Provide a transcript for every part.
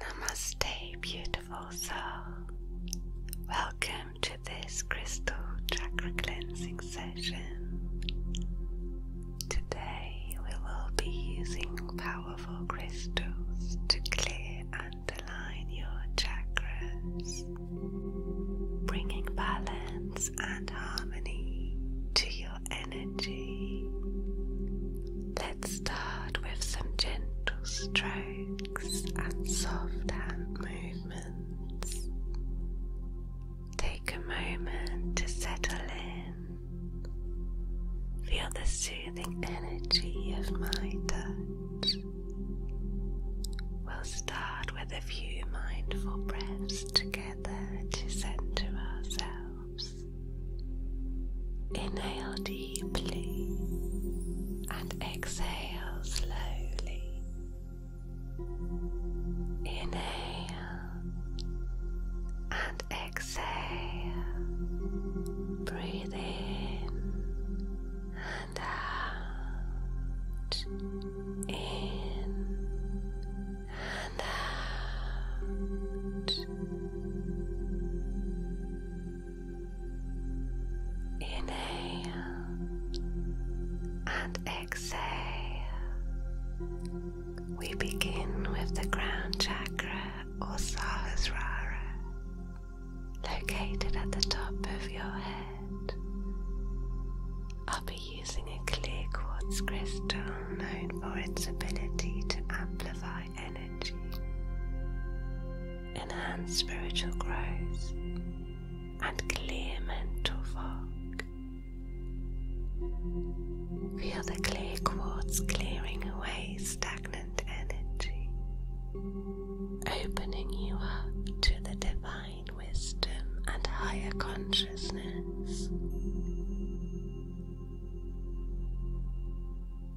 Namaste, beautiful soul. Welcome to this crystal chakra cleansing session. Today we will be using powerful crystals to clear and align your chakras, bringing balance and harmony to your energy. Let's start with some gentle strokes and soft hand movements. Take a moment to settle in. Feel the soothing energy of my touch. We'll start with a few mindful breaths together to center ourselves. Inhale deeply and exhale slowly. Inhale and exhale. Breathe in and out. In and out. Inhale and exhale. We begin with the crown chakra or Sahasrara, located at the top of your head. I'll be using a clear quartz crystal known for its ability to amplify energy, enhance spiritual growth, and clear mental fog. Feel the clear quartz clearing away stagnant energy, opening you up to the divine wisdom and higher consciousness.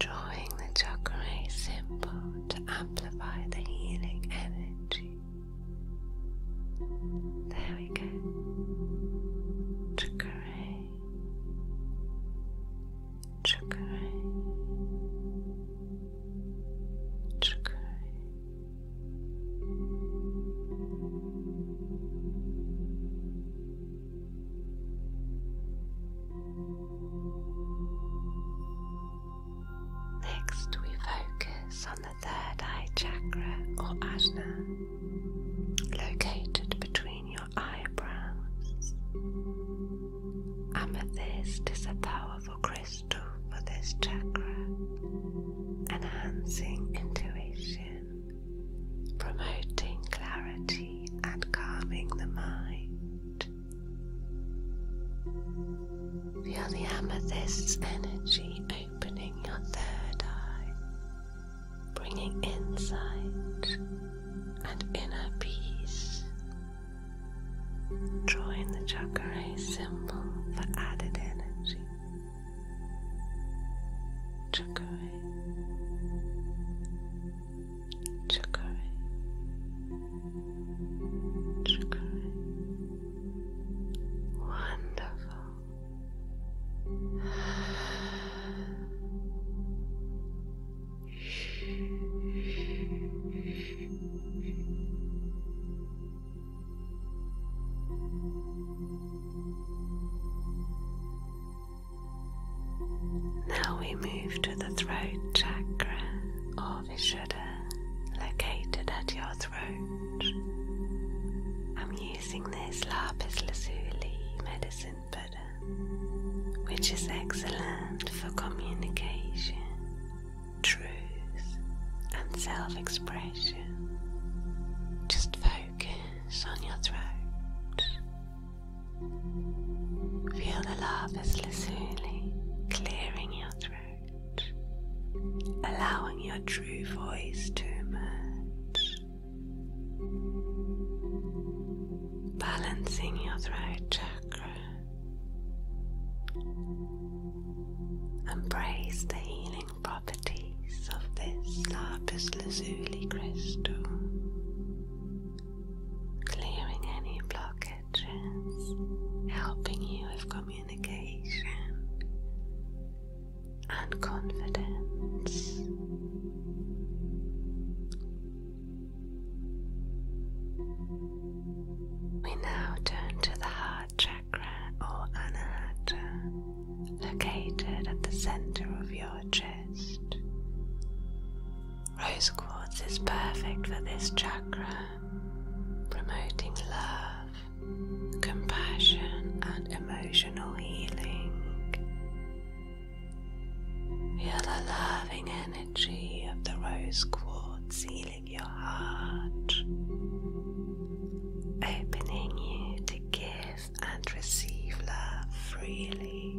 Drawing the chakra symbol to amplify the healing energy. There we go. Chakray. Chakray. Chakray. Next, we focus on the the third eye chakra or ajna, located between your eyebrows. Amethyst is a powerful crystal for this chakra, enhancing intuition, promoting clarity, and calming the mind. Feel the amethyst's energy opening your third eye, bringing insight and inner peace. Join the chakra symbol for added energy. Chakra. Chakra. Chakra. Wonderful. Now we move to the throat chakra pelvis shudder uh, located at your throat. I'm using this lapis lazuli medicine butter, uh, which is excellent for communication, truth, and self expression. Just focus on your throat. Feel the lapis lazuli clearing your throat allowing your true voice to emerge. Balancing your throat chakra. Embrace the healing properties of this lapis lazuli crystal, clearing any blockages, helping you with communication and confidence. We now turn to the heart chakra or anahata, located at the center of your chest. Rose quartz is perfect for this chakra, promoting love compassion, and emotional healing. Feel the loving energy of the rose quartz healing your heart, opening you to give and receive love freely.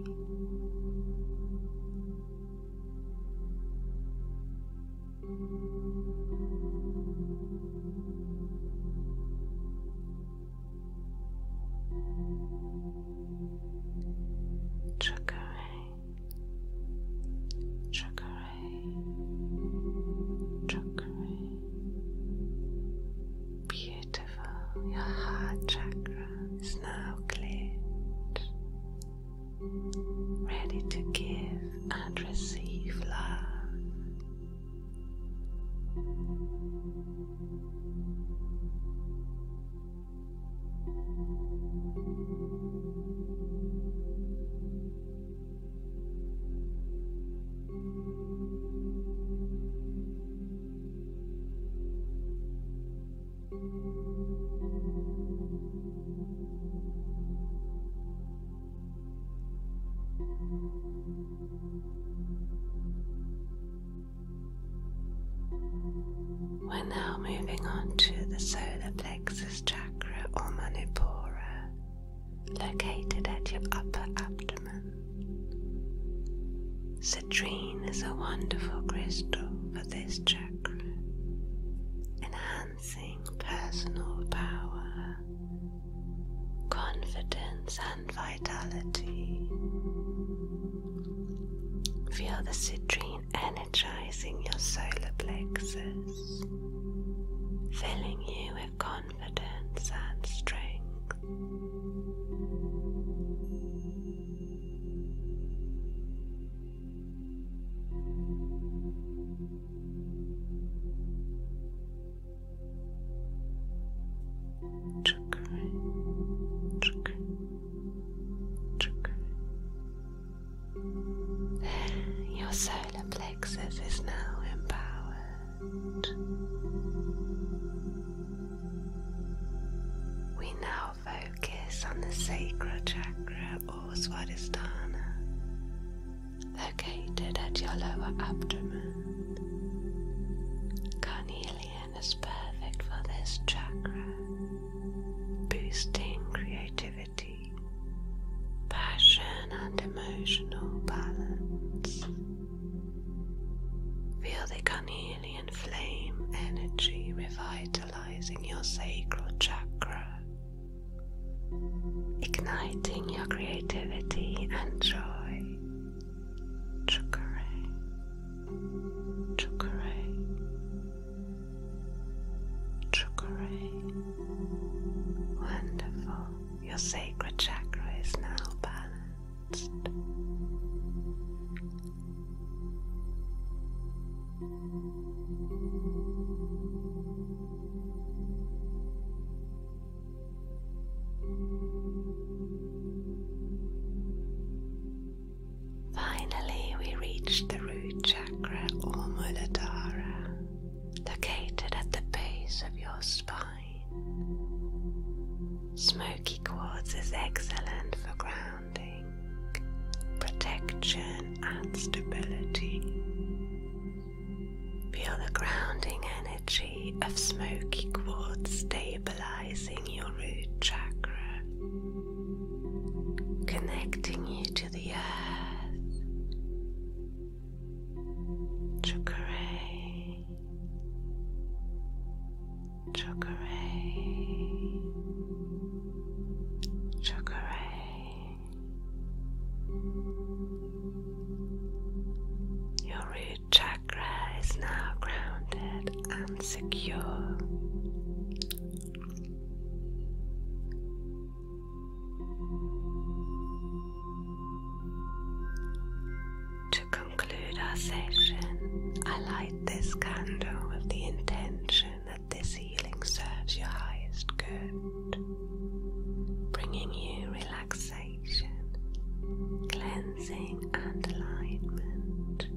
Chakare, chakare, chakare. Beautiful. Your heart chakra is now cleared ready to give and receive love. We're now moving on to the solar plexus chakra or manipura, located at your upper abdomen. Citrine is a wonderful crystal for this chakra personal power, confidence, and vitality. Feel the citrine energizing your solar plexus, filling you with confidence and strength. Chakra, chakra, chakra. Your solar plexus is now empowered. We now focus on the sacral chakra or Swadhisthana located at your lower abdomen. Carnelian is perfect for this chakra, boosting creativity, passion, and emotional balance. Feel the carnelian flame energy revitalizing your sacral chakra igniting your creativity and joy. Chukare, chukare, chukare. Wonderful. Your sacred chakra is now balanced. Finally, we reach the root chakra or Muladhara, located at the base of your spine. Smoky quartz is excellent for grounding, protection, and stability. Feel the grounding energy of smoky quartz stabilizing your root chakra, connecting you to the earth. Chakra, chakra, chakra. Your root chakra is now grounded and secure. To conclude our session, I light this candle with the intention that this ceiling serves your highest good, bringing you relaxation, cleansing, and alignment.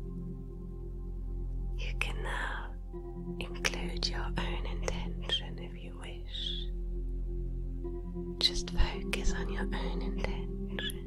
You can now include your own intention if you wish. Just focus on your own intention.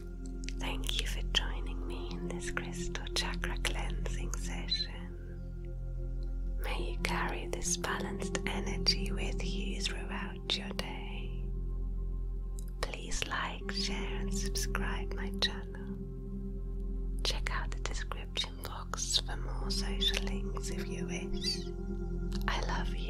Thank you for joining me in this crystal chakra cleansing session. May you carry this balanced energy with you throughout your day. Please like, share, and subscribe my channel. Check out the description box for more social links if you wish. I love you.